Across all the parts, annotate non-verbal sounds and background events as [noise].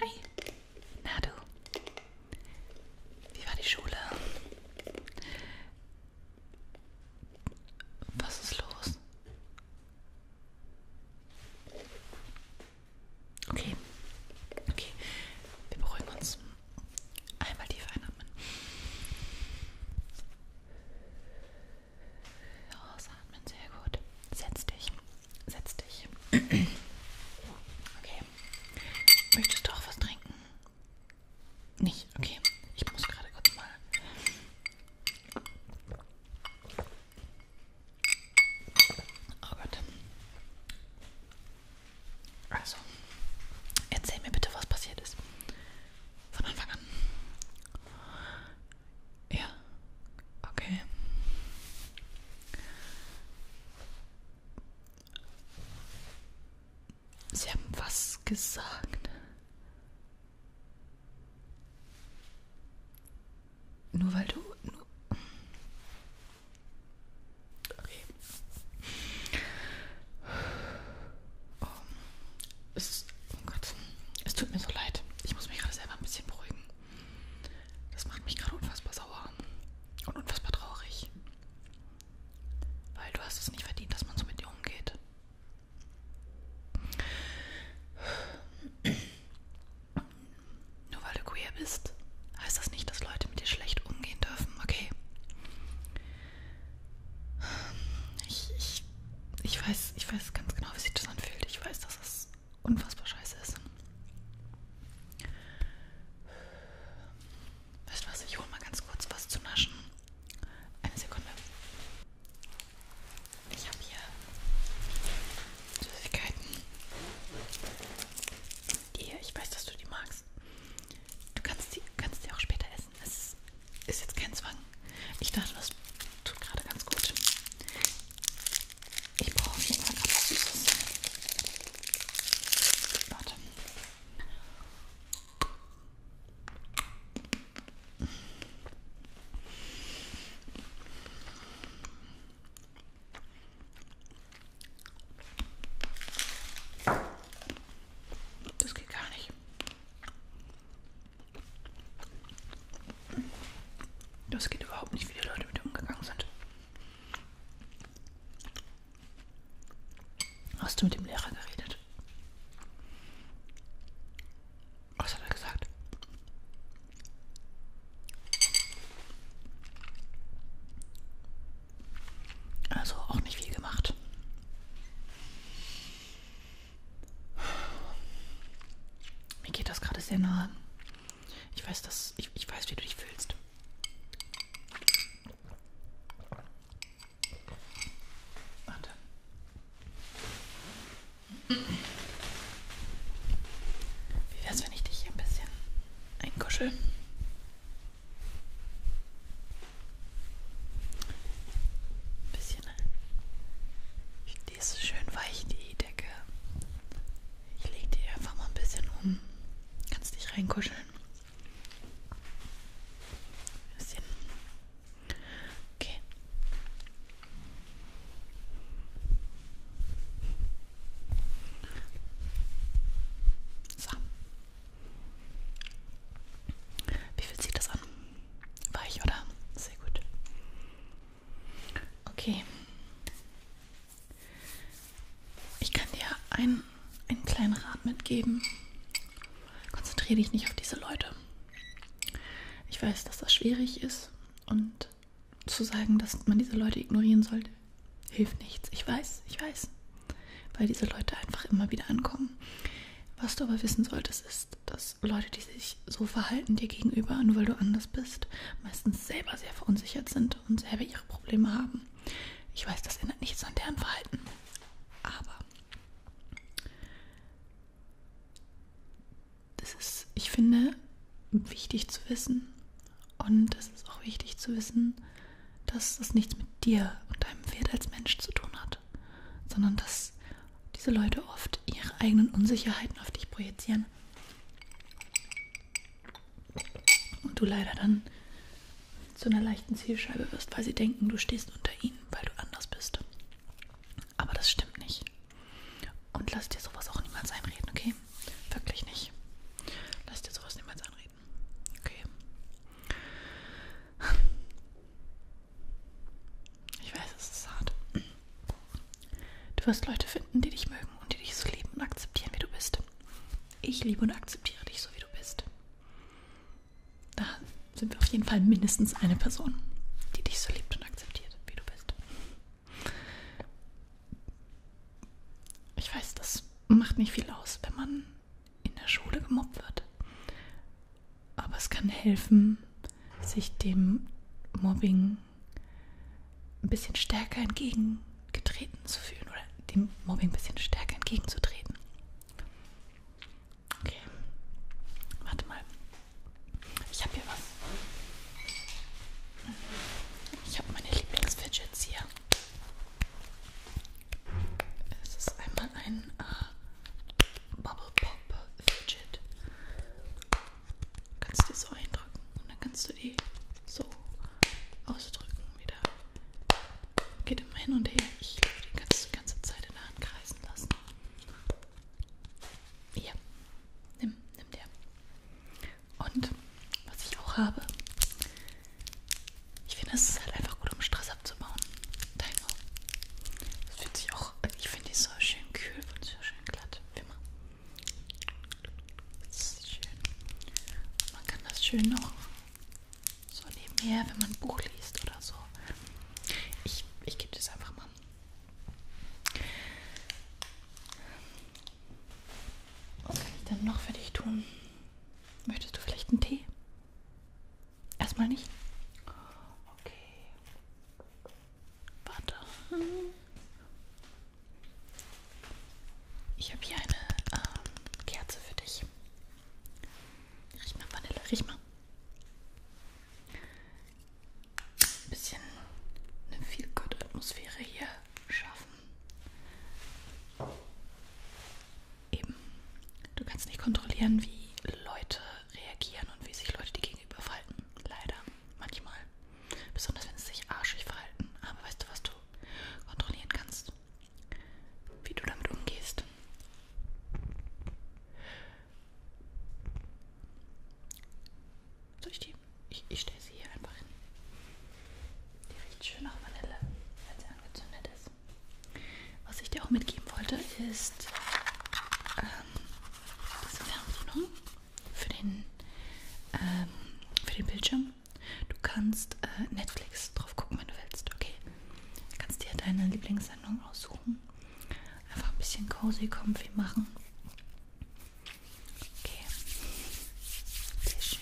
Hi, na du. Wie war die Schule? Was ist los? Okay, okay, wir beruhigen uns. Einmal tief einatmen. Oh, Ausatmen, sehr gut. Setz dich. Setz dich. Okay. Möchtest du auch was trinken? Nicht? Okay. Ich muss gerade kurz mal. Oh Gott. Also, erzähl mir bitte, was passiert ist. Von Anfang an. Ja. Okay. Sie haben was gesagt. Nur weil du... Nur okay. Oh, es, oh Gott, es tut mir so leid. Ich muss mich gerade selber ein bisschen beruhigen. Das macht mich gerade unfassbar sauer und unfassbar traurig. Weil du hast es nicht verdient, dass man so mit dir umgeht. Nur weil du queer bist, heißt das nicht, dass Leute mit dir schlecht umgehen dürfen, okay? Ich, ich, ich, weiß, ich weiß ganz genau, wie sich das anfühlt. Ich weiß, dass es unfassbar scheiße ist. Weißt du was? Ich hole mal ganz kurz was zu naschen. Eine Sekunde. Ich habe hier Süßigkeiten. Die, ich weiß, dass du die magst. Du kannst die, kannst die auch später essen. Es ist jetzt kein Zwang. Ich dachte, das tut gerade ganz gut. Ich brauche nicht mal gerade was Süßes. Warte. Das geht gar nicht. Das geht überhaupt nicht, wie die Leute mit umgegangen sind. Hast du mit dem Lehrer geredet? Was hat er gesagt? Also auch nicht viel gemacht. Mir geht das gerade sehr nahe. Ich weiß, dass ich, ich weiß, wie du dich fühlst. Warte. Wie wär's, wenn ich dich hier ein bisschen einkuschel? Ein bisschen. Äh, die ist schön weich, die Decke. Ich lege die einfach mal ein bisschen um. Kannst dich reinkuscheln. Ein bisschen. Okay. So. Wie viel zieht das an? Weich, oder? Sehr gut. Okay. Ich kann dir einen, einen kleinen Rat mitgeben. Konzentriere dich nicht auf diese Leute. Ich weiß, dass das schwierig ist und zu sagen, dass man diese Leute ignorieren sollte, hilft nichts. Ich weiß, ich weiß weil diese Leute einfach immer wieder ankommen. Was du aber wissen solltest, ist, dass Leute, die sich so verhalten dir gegenüber, nur weil du anders bist, meistens selber sehr verunsichert sind und selber ihre Probleme haben. Ich weiß, das ändert nichts an deren Verhalten. Aber das ist, ich finde, wichtig zu wissen. Und es ist auch wichtig zu wissen, dass das nichts mit dir und deinem Wert als Mensch zu tun hat macht, sondern dass diese Leute oft ihre eigenen Unsicherheiten auf dich projizieren. Und du leider dann zu einer leichten Zielscheibe wirst, weil sie denken, du stehst unter ihnen, weil du anders bist. Aber das stimmt nicht. Und lass dir sowas auch niemals einreden, okay? Wirklich nicht. Lass dir sowas niemals einreden. Okay. Ich weiß, es ist hart. Du wirst Leute finden, die dich mögen und die dich so lieben und akzeptieren, wie du bist. Ich liebe und akzeptiere dich so, wie du bist. Da sind wir auf jeden Fall mindestens eine Person, die dich so liebt und akzeptiert, wie du bist. Ich weiß, das macht nicht viel aus, wenn man in der Schule gemobbt wird. Aber es kann helfen, sich dem Mobbing ein bisschen stärker entgegengetreten zu fühlen oder dem Mobbing ein bisschen stärker entgegenzutreten. Okay, warte mal. Ich habe hier was. Ich habe meine Lieblingsfidgets hier. Es ist einmal ein äh, Bubble Pop Fidget. Kannst du so eindrücken und dann kannst du die so ausdrücken wieder. Geht immer hin und her. Ich liebe die ganze, ganze Zeit in der Hand kreisen lassen. Hier, nimm, nimm der. Und was ich auch habe, ich finde, es ist halt einfach gut, um Stress abzubauen. Timer. Das fühlt sich auch. Ich finde die so schön kühl und so schön glatt. Wie immer. Das ist schön. Und man kann das schön noch so nebenher, wenn man ein Buch liest oder so. Ich, ich gebe das einfach mal. Was kann ich dann noch für dich tun? Möchtest du vielleicht einen Tee? Erstmal nicht. Okay. Warte. Ich habe hier eine ähm, Kerze für dich. Riech mal Vanille, riech mal. Ein bisschen eine viel gute Atmosphäre hier schaffen eben, du kannst nicht kontrollieren, wie Leute reagieren und wie sich Leute dir gegenüber verhalten. Leider, manchmal. Besonders wenn sie sich arschig verhalten. Aber weißt du, was du kontrollieren kannst? Wie du damit umgehst. Soll ich die? Ich, ich stelle sie hier einfach hin. Die riecht schön nach Vanille, weil sie angezündet ist. Was ich dir auch mitgeben wollte, ist ähm, diese Fernbedienung für den, ähm, für den Bildschirm. Du kannst äh, Netflix drauf gucken, wenn du willst, okay? Du kannst dir deine Lieblingssendung aussuchen. Einfach ein bisschen cozy, comfy machen. Okay. Sehr schön.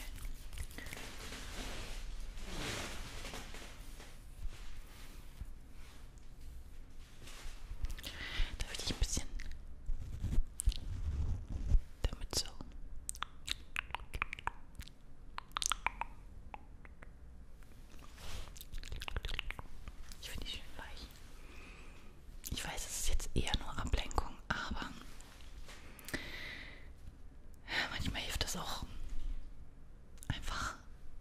Darf ich dich ein bisschen damit so? Ich finde die schön weich. Ich weiß, es ist jetzt eher nur Ablenkung, aber manchmal hilft das auch einfach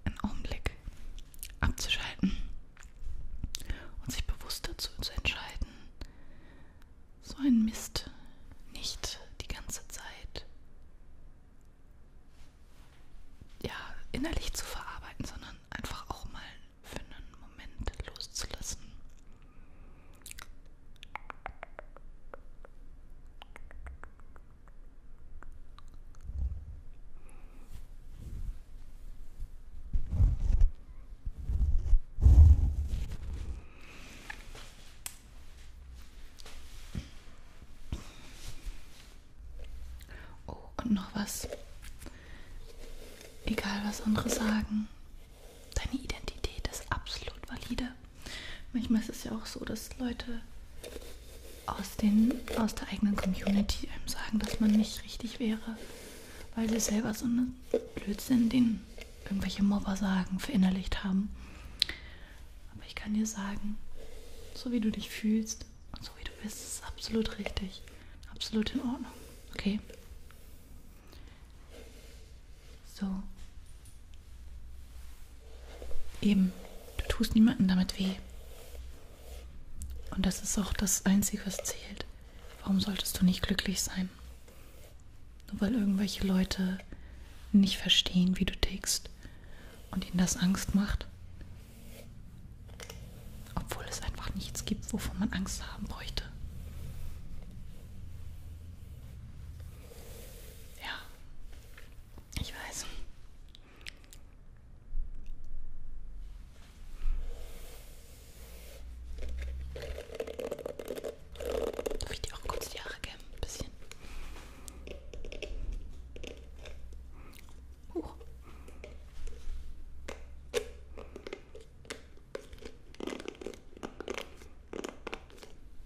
einen Augenblick abzuschalten und sich bewusst dazu zu entscheiden, so ein Mist nicht die ganze Zeit ja, innerlich zu verarbeiten, sondern einfach auch mal für einen Moment loszulassen. Oh, und noch was. Egal, was andere sagen, deine Identität ist absolut valide. Manchmal ist es ja auch so, dass Leute aus, den, aus der eigenen Community einem sagen, dass man nicht richtig wäre, weil sie selber so einen Blödsinn, den irgendwelche Mobber sagen, verinnerlicht haben. Aber ich kann dir sagen, so wie du dich fühlst und so wie du bist, ist es absolut richtig. Absolut in Ordnung. Okay? So. Eben, du tust niemandem damit weh. Und das ist auch das Einzige, was zählt. Warum solltest du nicht glücklich sein? Nur weil irgendwelche Leute nicht verstehen, wie du tickst und ihnen das Angst macht. Obwohl es einfach nichts gibt, wovon man Angst haben bräuchte. Ja, ich weiß. Darf ich dir auch kurz die Haare kämmen? Ein bisschen. Uh.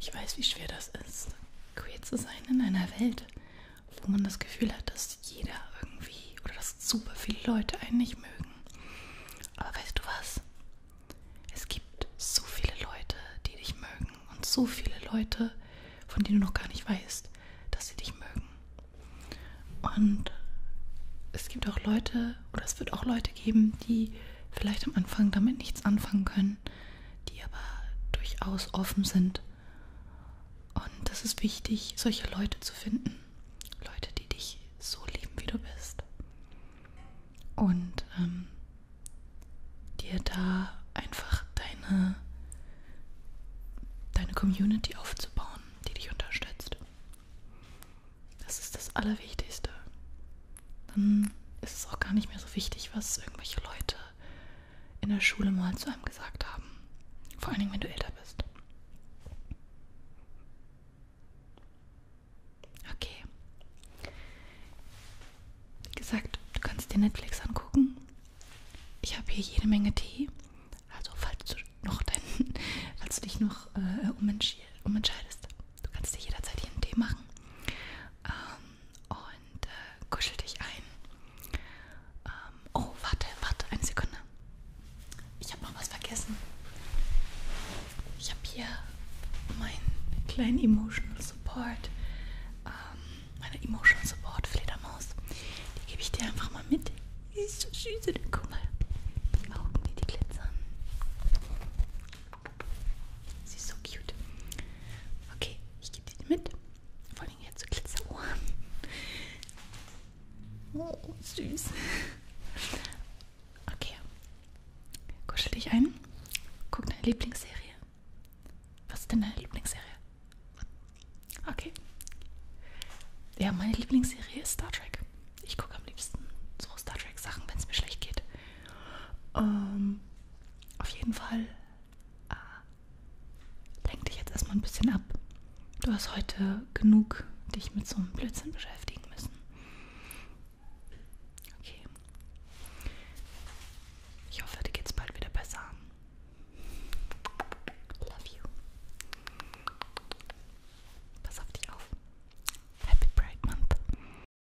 Ich weiß, wie schwer das ist, queer zu sein in einer Welt, wo man das Gefühl hat, dass jeder irgendwie oder dass super viele Leute einen nicht mögen. Aber weißt du was? Es gibt so viele Leute, die dich mögen und so viele Leute, von denen du noch gar nicht weißt, dass sie dich mögen. Und es gibt auch Leute, oder es wird auch Leute geben, die vielleicht am Anfang damit nichts anfangen können können, die aber durchaus offen sind. Und das ist wichtig, solche Leute zu finden. Leute, die dich so lieben, wie du bist. Und ähm, dir da einfach deine, deine Community aufzubauen, die dich unterstützt. Das ist das Allerwichtigste dann ist es auch gar nicht mehr so wichtig, was irgendwelche Leute in der Schule mal zu einem gesagt haben. Vor allen Dingen, wenn du älter bist. Okay. Wie gesagt, du kannst dir Netflix angucken. Ich habe hier jede Menge Tee. Also falls du noch dein, [laughs] falls du dich noch äh, umentschied, umentscheidest, du kannst dir jederzeit hier einen Tee machen. Ähm, und äh, kuschel dich ein. Ähm, oh, warte, warte, eine Sekunde. Ich habe noch was vergessen. Ich habe hier meinen kleinen Emotional Support, ähm, meine Emotional Support Fledermaus. Die gebe ich dir einfach mal mit. Die ist so süß, guck mal. Die Augen, die, die glitzern. Sie ist so cute. Okay, ich gebe die mit. Vor allem jetzt so Glitzerohren. Oh, süß. Okay. Kuschel dich ein. Guck deine Lieblingsserie. Was ist denn deine Lieblingsserie? Okay. Ja, meine Lieblingsserie ist Star Trek. Ich gucke am liebsten so Star Trek Sachen, wenn es mir schlecht geht. Ähm, auf jeden Fall äh, lenk dich jetzt erstmal ein bisschen ab. Du hast heute genug dich mit so einem Blödsinn beschäftigen müssen. Okay. Ich hoffe, dir geht's bald wieder besser. Love you. Pass auf dich auf. Happy Pride Month.